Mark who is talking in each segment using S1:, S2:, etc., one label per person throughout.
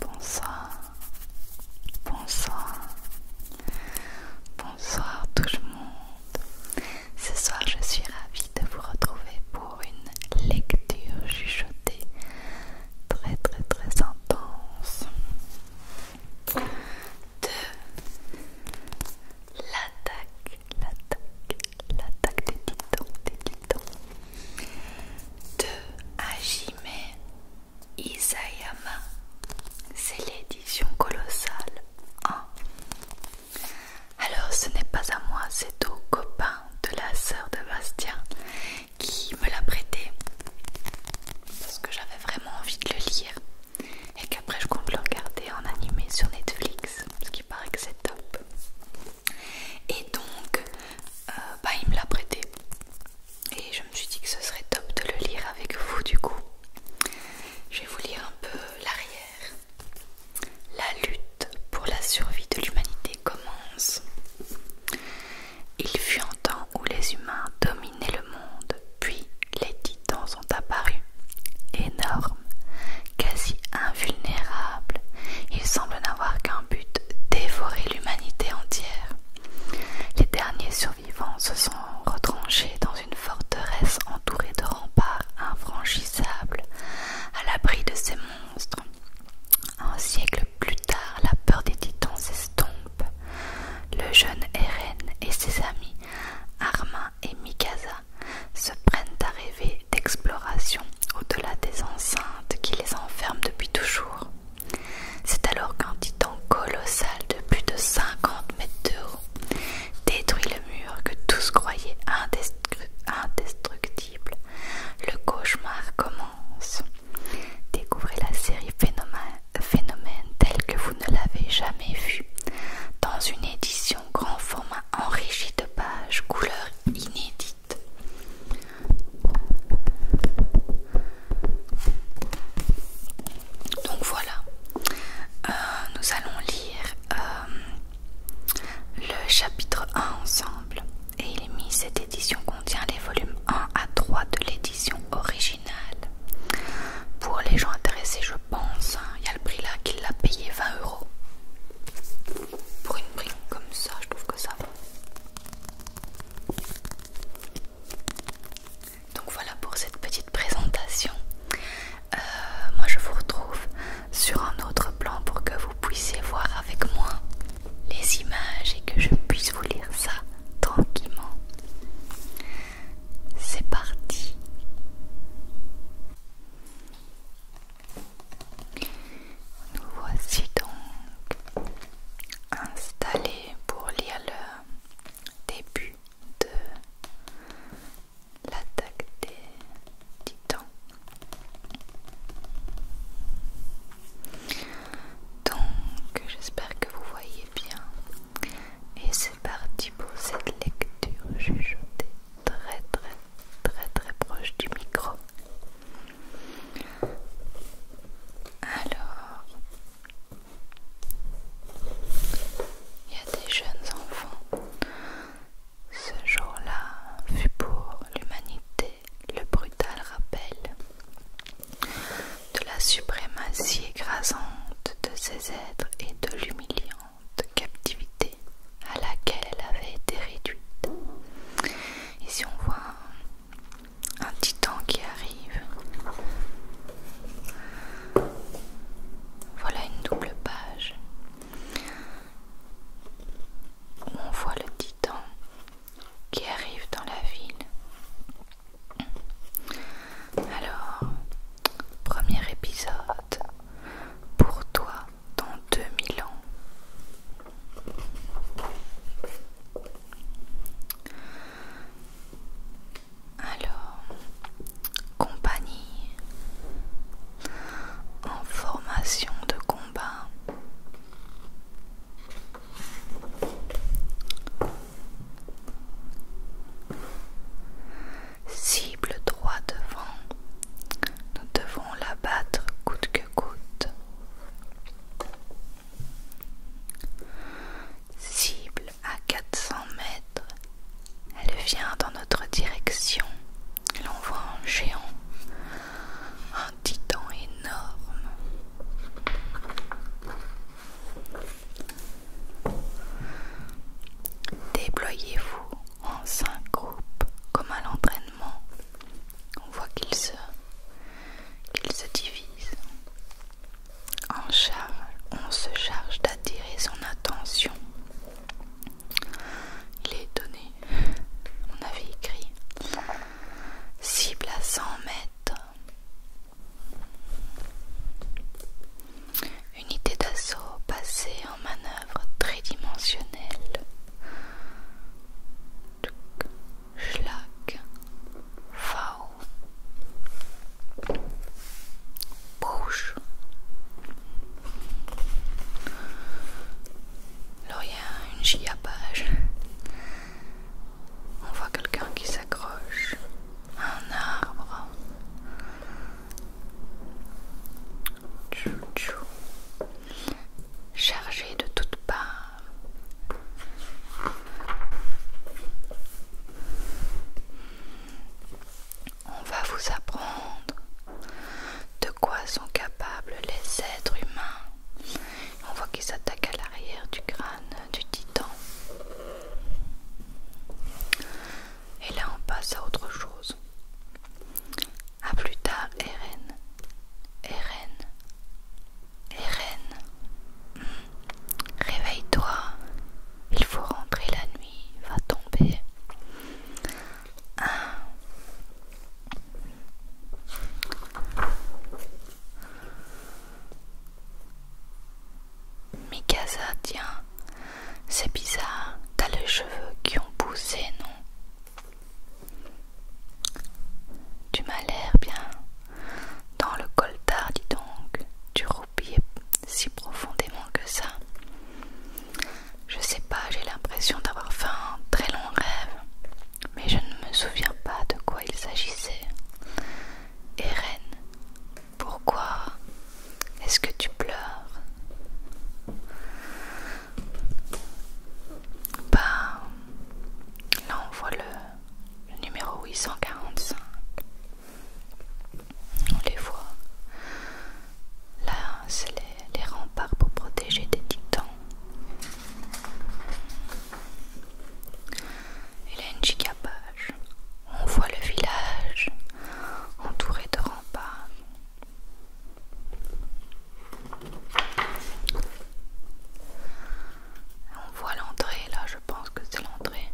S1: Bonsoir, bonsoir, bonsoir tout le monde. Ce soir, je suis ravie de vous retrouver pour une lecture chuchotée très très très intense de l'attaque, l'attaque, l'attaque des titans, des titans de Hajime Isayama. C'est l'édition colossale 1. Hein. Alors ce n'est pas à moi, c'est au copain de la sœur de Bastien qui me l'a prêté parce que j'avais vraiment envie de le lire et qu'après je compte le regarder en animé sur Netflix paraît que c'est top. Et donc, euh, bah, il me l'a prêté. Et je me suis dit que ce serait top de le lire avec vous du coup. Je vais vous lire un peu l'arrière. La lutte pour la survie de l'humanité commence. Il fut un temps où les humains dominaient le monde, puis les titans sont apparus. Énormes, quasi invulnérables, ils semblent n'avoir qu'un but, dévorer l'humanité entière. Les derniers survivants se sont retranchés dans une forteresse entourée de remparts infranchissables, à l'abri de ces monstres. Un siècle plus tard, la peur des titans s'estompe. Le jeune Eren et ses amis, Armin et Mikasa, se prennent à rêver d'exploration au-delà des enceintes qui les enferment depuis toujours. C'est alors qu'un titan colossal de plus de 50 mètres de haut détruit le mur que tous croyaient indestructible. Le cauchemar commence. Découvrez la série Phénomène, phénomène que vous ne l'avez jamais vue dans une édition grand format enrichie de pages couleurs inédites donc voilà, euh, nous allons lire euh, le chapitre 1 ensemble. Et il est mis, cette édition contient les volumes 1 à 3 de l'édition originale. Pour les gens intéressés, je pense, hein, il y a le prix là qu'il l'a payé 20 euros. Pour une brique comme ça, je trouve que ça va. Donc voilà pour cette petite présentation. Euh, moi je vous retrouve sur un autre plan pour que vous puissiez voir avec moi les images et que je puisse vous lire ça tranquillement. C'est parti. Nous voici donc installés pour lire le début de l'attaque des titans. Donc j'espère que vous voyez bien et c'est parti pour cette lecture jeté très très très très proche du micro. Alors, il y a des jeunes enfants. Ce jour-là fut pour l'humanité le brutal rappel de la suprématie écrasante de ces êtres et de l'humiliante captivité à laquelle elle avait été réduite. et si on voit un, un titan qui arrive. Voilà une double page on voit le titan qui arrive dans la ville. Alors, premier épisode, pour toi, dans 2000 ans. Alors, compagnie en formation de combat. Cible droit devant, nous devons l'abattre coup de Cible à 400 mètres, elle vient dans notre direction. L'on voit un géant, un titan énorme. Déployez-vous en cinq groupes comme à l'entraînement. On voit qu'il se, se divisent. En charge, on se charge d'attirer son attention. Il est donné On avait écrit cible à 100 mètres. Unité d'assaut passée en manœuvre tridimensionnelle. Schlag, V, Bouche, Là, il une giapage. On voit quelqu'un qui s'accroche à un arbre. Tchou tchou chargé de toutes parts. On va vous apprendre de quoi sont capables les êtres humains. On voit qu'ils s'attaquent à l'arrière du crâne du titan. Et là, on passe à autre chose. A plus tard, Eren. Eren. Eren. Réveille-toi. Il faut rentrer la nuit. Va tomber. Mikasa, tiens, c'est bizarre, t'as les cheveux qui ont poussé, non tu m'as l'air bien dans le coltard, dis donc. Tu roupis si profondément que ça. Je sais pas, j'ai l'impression d'avoir fait un très long rêve, mais je ne me souviens pas de quoi il s'agissait. Eren, pourquoi est-ce que tu pleures bah, là on voit le, numéro 845. On les voit. Là, c'est les, remparts pour protéger des titans. et la une On voit le village entouré de remparts. On voit l'entrée là, je pense que c'est l'entrée.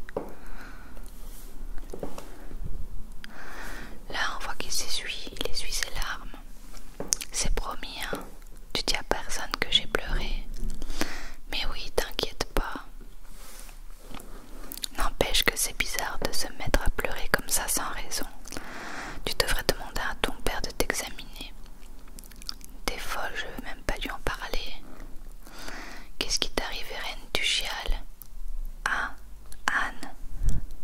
S1: Là, on voit qu'il s'essuie, il essuie ses larmes. C'est promis, hein. Tu dis à personne que j'ai pleuré. Mais oui, t'inquiète pas. N'empêche que c'est bizarre de se mettre à pleurer comme ça sans raison. Tu devrais demander à ton père de t'examiner. Des folle, je veux même pas lui en parler. Qu'est-ce qui t'arrive, reine du chial Ah, Anne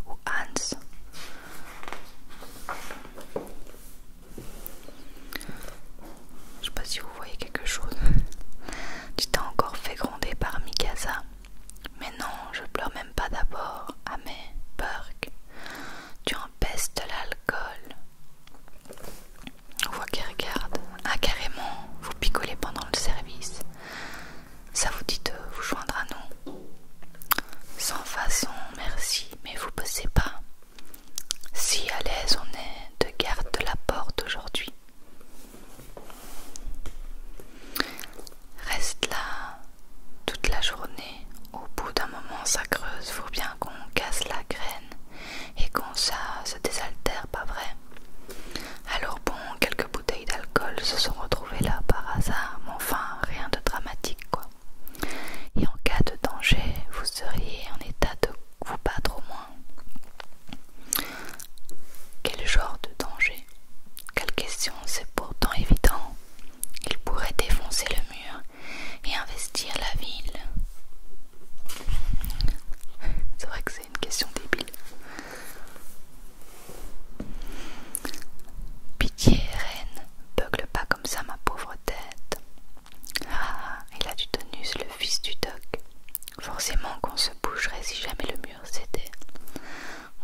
S1: ou Hans Je sais pas si vous voyez quelque chose. tu t'as encore fait gronder par Mikasa. Mais non, je pleure même pas d'abord. Ah mais, Burke, tu de l'alcool. On voit qui regarde. Ah carrément, vous picolez pendant le service. Ça vous dit de vous joindre à nous Sans façon, merci, mais vous bossez pas. Si à l'aise on est de garde de la porte aujourd'hui. Reste là toute la journée. Au bout d'un moment, ça creuse. Faut bien qu'on casse la graine et qu'on ça se désaltère, pas vrai Alors bon, quelques bouteilles d'alcool se sont retrouvées là par hasard, enfin rien de dramatique quoi. Et en cas de danger, vous seriez en état de vous battre au moins. Quel genre de danger Quelle question C'est pourtant évident. Il pourrait défoncer le mur et investir la ville. C'est vrai que c'est une question débile. Pitié, reine, beugle pas comme ça ma pauvre tête. Ah, il a du tonus, le fils du doc. Forcément qu'on se bougerait si jamais le mur c'était.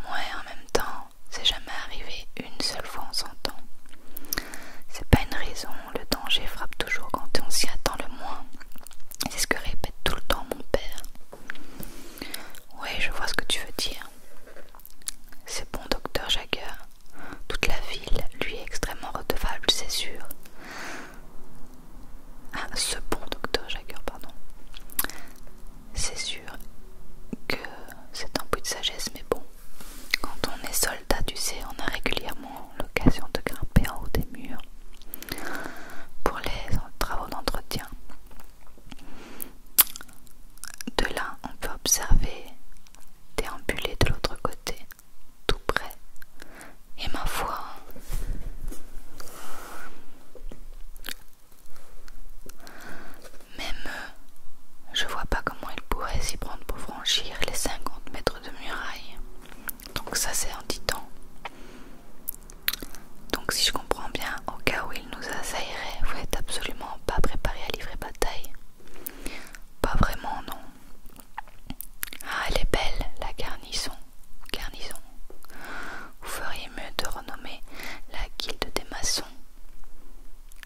S1: Moi, en même temps, c'est jamais arrivé une seule fois en s'entend. ans. C'est pas une raison, le danger frappe toujours quand on s'y attend le moins. C'est ce que répète tout le temps mon père. Oui, je vois ce que tu veux dire. C'est bon, docteur Jagger. Toute la ville lui est extrêmement redevable, c'est sûr. Ah, ce bon docteur Jagger, pardon. C'est sûr que c'est un peu de sagesse, mais bon. Quand on est soldat, tu sais, on a régulièrement l'occasion de grimper en haut des murs pour les travaux d'entretien. De là, on peut observer déambuler de l'autre côté, tout près. Et ma foi, même euh, je vois pas comment il pourrait s'y prendre pour franchir les 50 mètres de muraille. Donc ça c'est un titan. Donc si je comprends bien, au cas où il nous assailleraient, vous n'êtes absolument pas préparé à livrer bataille. Pas vraiment non. Ah elle est belle la garnison. Garnison vous feriez mieux de renommer la guilde des maçons.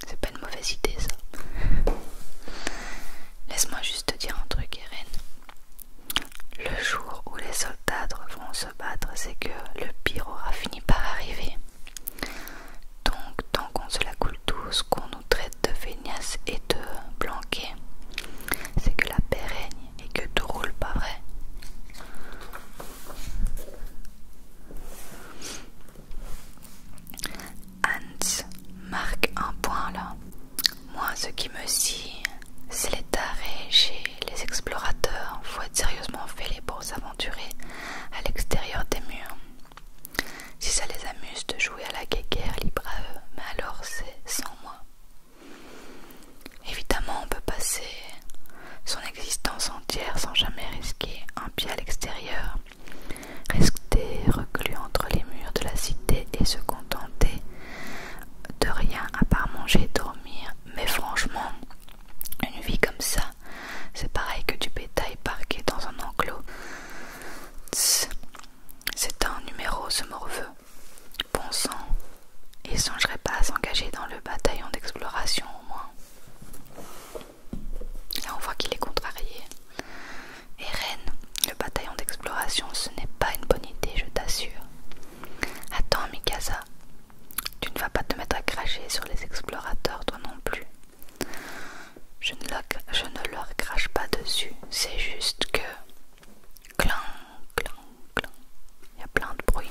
S1: C'est pas une mauvaise idée ça. Laisse-moi juste dire un truc, Irène. Le jour où les soldats vont se battre, c'est que le pire aura fini par arriver. Donc, tant qu'on se la coule tous, qu'on nous traite de feignasses et de blanquet, c'est que la paix règne et que tout roule pas vrai. Hans marque un point là. Moi, ce qui me scie, c'est les tarés chez les explorateurs. Faut être sérieusement les pour s'aventurer à l'extérieur des murs. Si ça les amuse de jouer à la guéguerre, libre à eux, mais alors c'est sans moi. Évidemment, on peut passer son existence entière sans jamais risquer un pied à l'extérieur, rester reclus entre les murs de la cité et se contenter de rien à part manger et dormir. Mais franchement, une vie comme ça, c'est pareil que du bétail parqué dans un enclos. C'est un numéro, ce morveux. Bon sang, il songerait pas à s'engager dans le bataillon d'exploration au moins. Là, on voit qu'il est contrarié. Et le bataillon d'exploration, ce n'est pas une bonne idée, je t'assure. Attends, Mikasa, tu ne vas pas te mettre à cracher sur les explorateurs, toi non plus. Je ne, leur, crache pas dessus, c'est juste que. Clan, clan, clan. Il y a plein de bruit.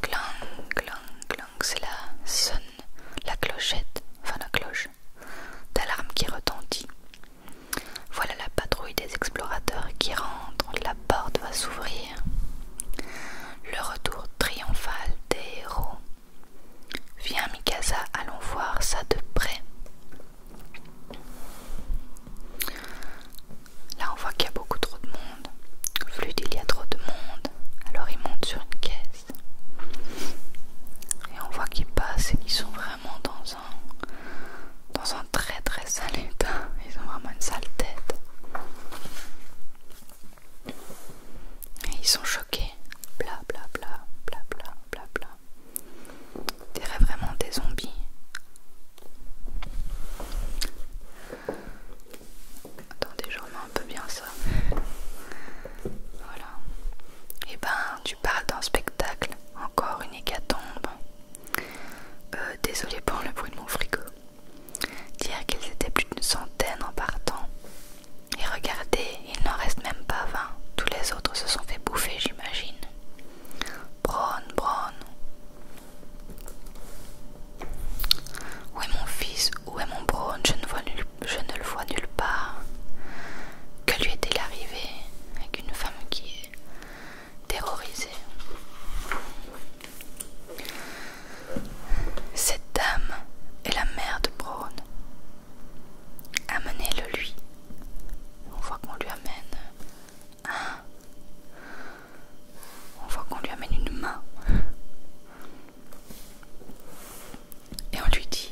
S1: Clang, clang, clang, c'est la sonne, la clochette, enfin la cloche, d'alarme qui retentit. Voilà la patrouille des explorateurs qui rentre, la porte va s'ouvrir. Le retour triomphal des héros. Viens, Mikasa, allons voir ça de près. Là, on voit qu'il y a beaucoup trop de monde. Flûte, il y a trop de monde. Alors, ils montent sur une caisse. Et on voit qu'ils passent et qu'ils sont vraiment dans un, dans un très très sale état. Ils ont vraiment une sale tête. Et ils sont choqués. Bla bla bla bla bla bla vraiment des zombies. Attendez, je remets un peu bien ça. Voilà. Et eh ben, tu parles d'un spectacle, encore une hécatombe. Euh, désolé pour le bruit de mon frigo. Dire qu'ils étaient plus d'une centaine en partant. Et regardez, il n'en reste même pas vingt. Tous les autres se sont fait bouffer, j'imagine. Braun, Braun. Où est mon fils Où est mon Braun je ne, vois je ne le vois nulle part. Que lui est-il arrivé avec une femme qui est terrorisée Cette dame est la mère de Braun. Amenez-le lui, on voit qu'on lui amène On voit qu'on lui amène une main. Et on lui dit...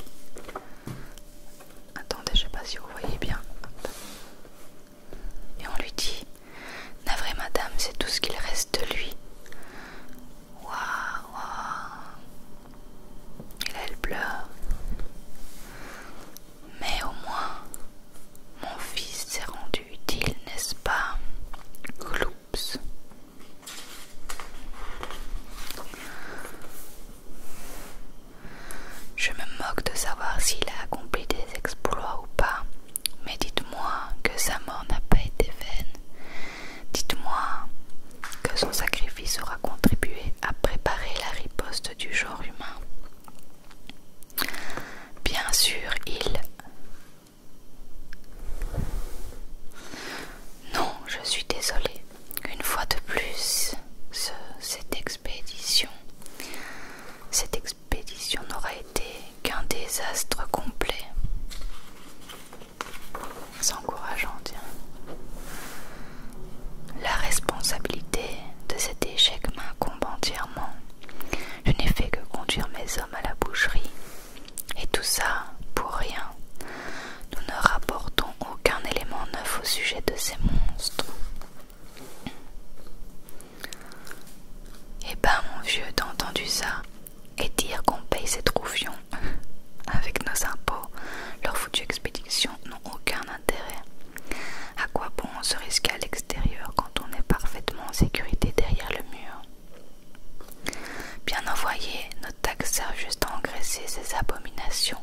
S1: Attendez, je sais pas si vous voyez bien. Et on lui dit... vraie madame, c'est tout ce qu'il reste de lui. Waouh, waouh elle pleure. Mais au moins, mon fils s'est rendu utile, n'est-ce pas Gloups. Je me moque de savoir s'il a accompli des exploits ou pas, mais dites-moi que sa mort n'a pas été vaine. Dites-moi que son sacrifice aura sera contribué à préparer la riposte du genre humain. Bien sûr, il... Non, je suis désolée. Une fois de plus, cette expédition, cette expédition n'aura été qu'un désastre complet c'est encourageant, tiens. La responsabilité de cet échec m'incombe entièrement. Je n'ai fait que conduire mes hommes à la boucherie. Et tout ça pour rien. Nous ne rapportons aucun élément neuf au sujet de ces monstres. Eh ben mon vieux, t'as entendu ça Et dire qu'on paye ces trouvions, avec nos impôts, leur foutue expédition n'ont aucun intérêt. À quoi bon se risquer à l'extérieur quand on est parfaitement en sécurité derrière le mur Bien envoyé, notre taxe sert juste à engraisser ces abominations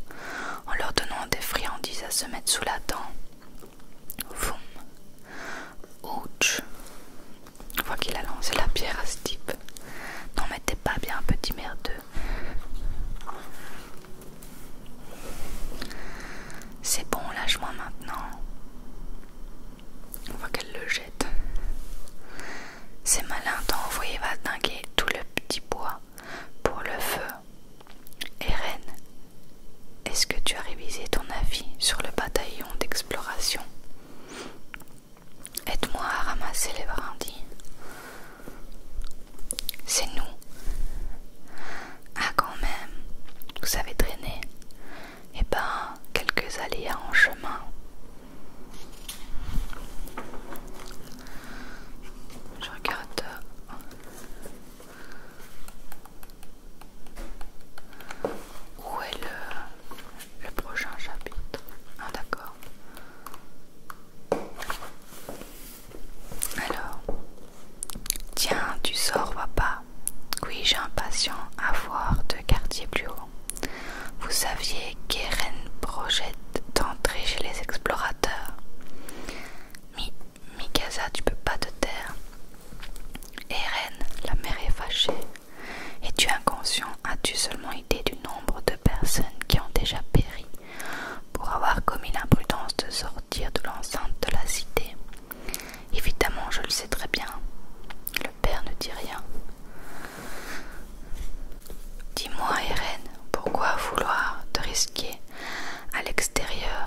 S1: en leur donnant des friandises à se mettre sous la dent. Voum Ouch On voit qu'il a lancé la pierre à ce type. N'en mettez pas bien, petit merdeux. C'est bon, lâche-moi maintenant. On voit qu'elle le jette. C'est malin, t'envoyais va dinguer tout le petit bois pour le feu. Eren, est-ce que tu as révisé ton avis sur le bataillon d'exploration Aide-moi à ramasser les brindilles. C'est nous. Ah quand même, vous savez traîner Eh ben, quelques aléas en chemin. Je regarde. Où est le, le prochain chapitre Ah d'accord. Alors, tiens, tu sors, pas Oui, j'ai impatient à voir de quartiers plus haut. Vous saviez qu'Eren projette d'entrer chez les explorateurs. Mi Mikasa, tu peux pas te taire. Eren, la mère est fâchée. Es-tu inconscient As-tu seulement idée du nombre de personnes qui ont déjà péri pour avoir commis l'imprudence de sortir de l'enceinte de la cité. Évidemment, je le sais très bien. Le père ne dit rien. Dis-moi, Irène, pourquoi vouloir te risquer à l'extérieur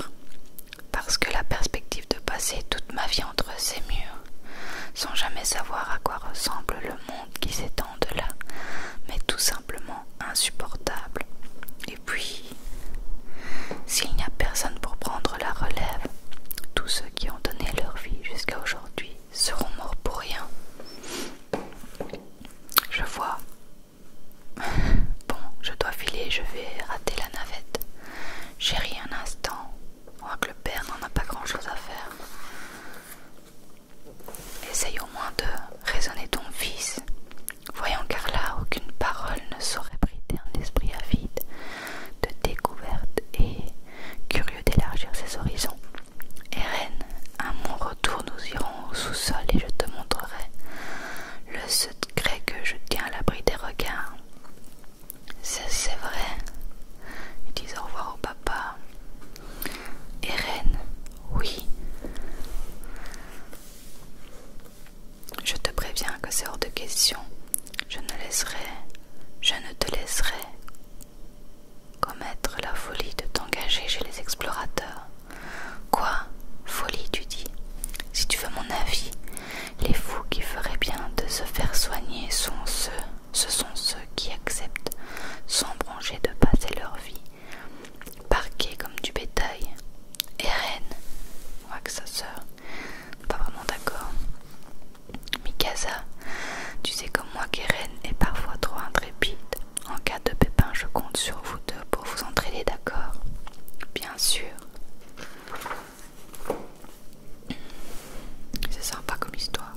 S1: Parce que la perspective de passer toute ma vie entre ces murs, sans jamais savoir à quoi ressemble le monde qui s'étend de là, mais tout simplement insupportable. Et puis, s'il n'y a personne pour prendre la relève, tous ceux qui ont donné leur vie jusqu'à aujourd'hui seront morts pour rien. Je vois. Bon, je dois filer, je vais rater la navette. J'ai ri un instant. On voit que le père n'en a pas grand chose à faire. Essaye au moins de raisonner ton fils, voyant car là aucune parole ne saurait brider un esprit avide de découverte et curieux d'élargir ses horizons. Eren, à mon retour, nous irons au sous-sol et je te montrerai le secret que je tiens à l'abri des regards. C'est vrai, Dis au revoir au papa. Eren, oui. Je te préviens que c'est hors de question. Je ne laisserai, je ne te laisserai commettre la folie de t'engager chez les explorateurs. Quoi Folie, tu dis Si tu veux mon avis, les fous qui feraient bien de se faire soigner sont ceux, ce sont ceux qui acceptent sans broncher de passer leur vie Parquet comme du bétail. Eren, que sa sœur, pas vraiment d'accord. Mikasa, tu sais comme moi qu'Eren est parfois trop intrépide. En cas de pépin, je compte sur vous deux pour vous entraîner d'accord Bien sûr. C'est sympa comme histoire.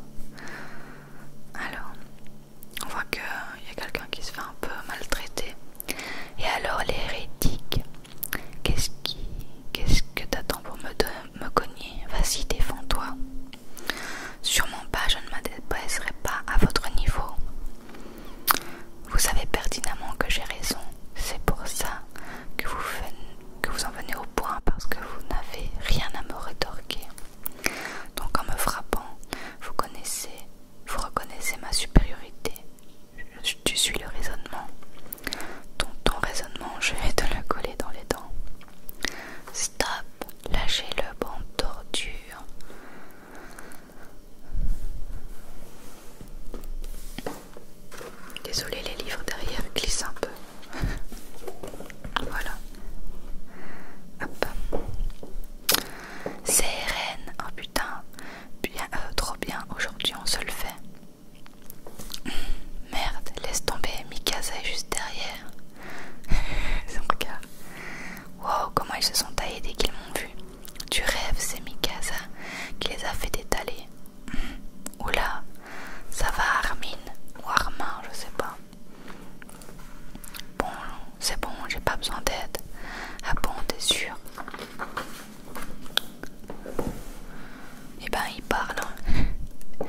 S1: Alors, on voit il euh, y a quelqu'un qui se fait un peu maltraiter. Et alors l'hérétique, qu'est-ce qui, qu'est-ce que t'attends pour me, cogner Vas-y, défends-toi. Sûrement pas, je ne m'adresserai pas à votre niveau. Vous savez pertinemment que j'ai raison. C'est pour ça que vous, que vous en venez au point parce que vous n'avez rien à me rétorquer. Donc en me frappant, vous connaissez, vous reconnaissez ma supériorité. tu suis le raisonnement. Ton, raisonnement, je vais te le coller dans les dents. Stop, lâchez le banc torture. Désolé, les livres derrière glissent un peu. Voilà. Hop. CRN. Oh putain. Bien, euh, trop bien. Aujourd'hui, on se le fait. Merde. Laisse tomber. Mikasa est juste derrière. Son Wow, comment ils se sont taillés dès qu'ils m'ont vu. Tu rêves, c'est Mikasa qui les a fait détaler. Oula, ça va Armin ou Armin, je sais pas. Bon, c'est bon, j'ai pas besoin d'aide. Ah bon, t'es sûr Eh ben, il parle. Hein.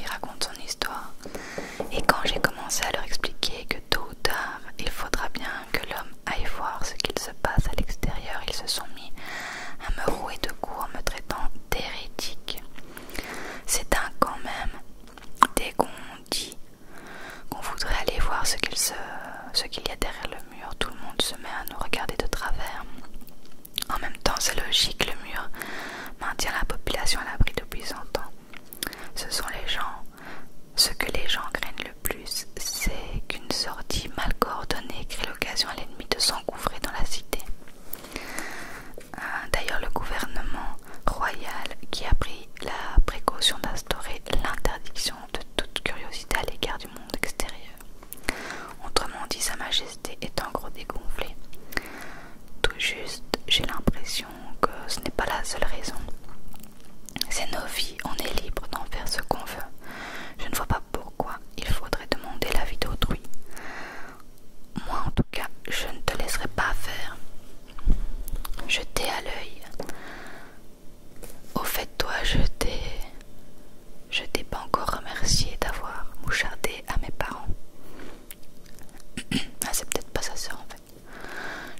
S1: il raconte son histoire. Et quand j'ai commencé à leur expliquer que tôt ou tard, il faudra bien que l'homme aille voir ce qu'il se passe à l'extérieur, ils se sont mis à me rouer de coups en me traitant d'hérétique. C'est un quand même, dès qu'on dit qu'on voudrait aller voir ce qu'il y a derrière le mur, tout le monde se met à nous regarder de travers. En même temps, c'est logique, le mur maintient la population à l'abri depuis 100 ans. Ce sont les gens, ce que les gens craignent le plus, c'est qu'une sortie mal coordonnée crée l'occasion à l'ennemi de s'en dans la cité. Euh, d'ailleurs, le gouvernement royal qui a pris la précaution d'instaurer l'interdiction de toute curiosité à l'égard du monde extérieur. Autrement dit, Sa Majesté est en gros dégonflée. Tout juste, j'ai l'impression que ce n'est pas la seule raison. C'est nos vies, on est libre d'en faire ce qu'on veut. Je ne vois pas pourquoi il faudrait demander la vie d'autrui. Moi en tout cas, je ne te laisserai pas faire. je t'ai à l'œil. Au fait, toi, je t'ai. Je t'ai pas encore remercié d'avoir mouchardé à mes parents. ah, c'est peut-être pas sa ça en fait.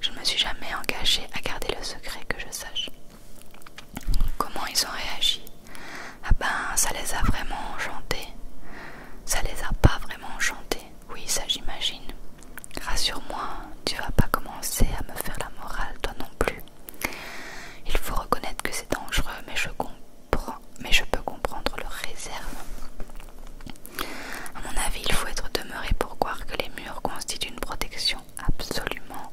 S1: Je ne me suis jamais engagé à garder le secret que je sache. Comment ils ont réagi Ah ben, ça les a vraiment enchantés. Ça les a pas vraiment enchantés. Oui, ça j'imagine. Rassure-moi, tu vas pas commencer à me faire la morale, toi non plus. Il faut reconnaître que c'est dangereux, mais je comprends, mais je peux comprendre leur réserve. À mon avis, il faut être demeuré pour croire que les murs constituent une protection absolument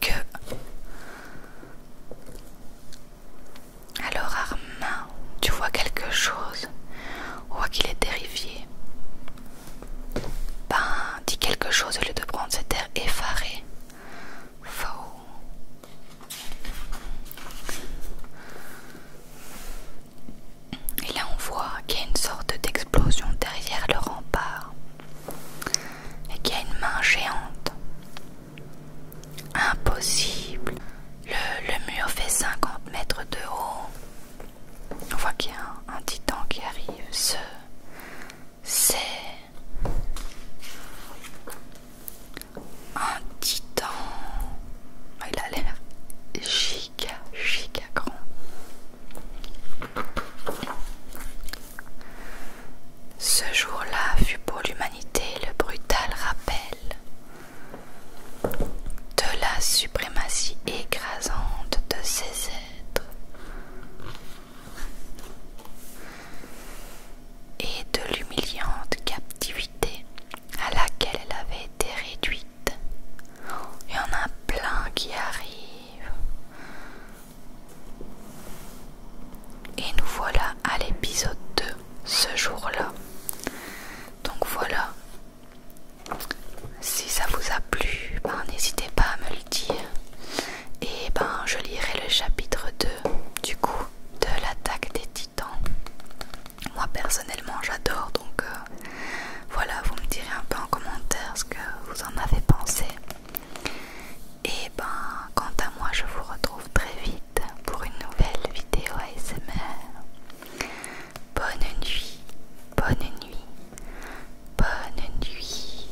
S1: que alors Armin tu vois quelque chose on voit qu'il est terrifié ben dis quelque chose au lieu de prendre cet air effaré faux et là on voit qu'il y a une sorte d'explosion derrière le rempart et qui a une main géante. Impossible. Le, mur fait 50 mètres de haut. On voit qu'il y a un, un titan qui arrive. Ce, c'est un titan. Ah, il a l'air giga, giga grand. Ce jour-là fut pour l'humanité le brutal rappel de la suprématie écrasante de ces êtres et de l'humiliante captivité à laquelle elle avait été réduite. Il y en a plein qui arrivent. Et nous voilà à l'épisode 2 ce jour-là. Donc voilà. Si ça vous a plu, ben, n'hésitez pas à me le dire. Et ben je lirai le chapitre 2 du coup de l'attaque des titans. Moi personnellement j'adore donc euh, voilà vous me direz un peu en commentaire ce que vous en avez pensé. Et ben, quant à moi, je vous retrouve très vite pour une nouvelle vidéo ASMR. Bonne nuit, bonne nuit, bonne nuit.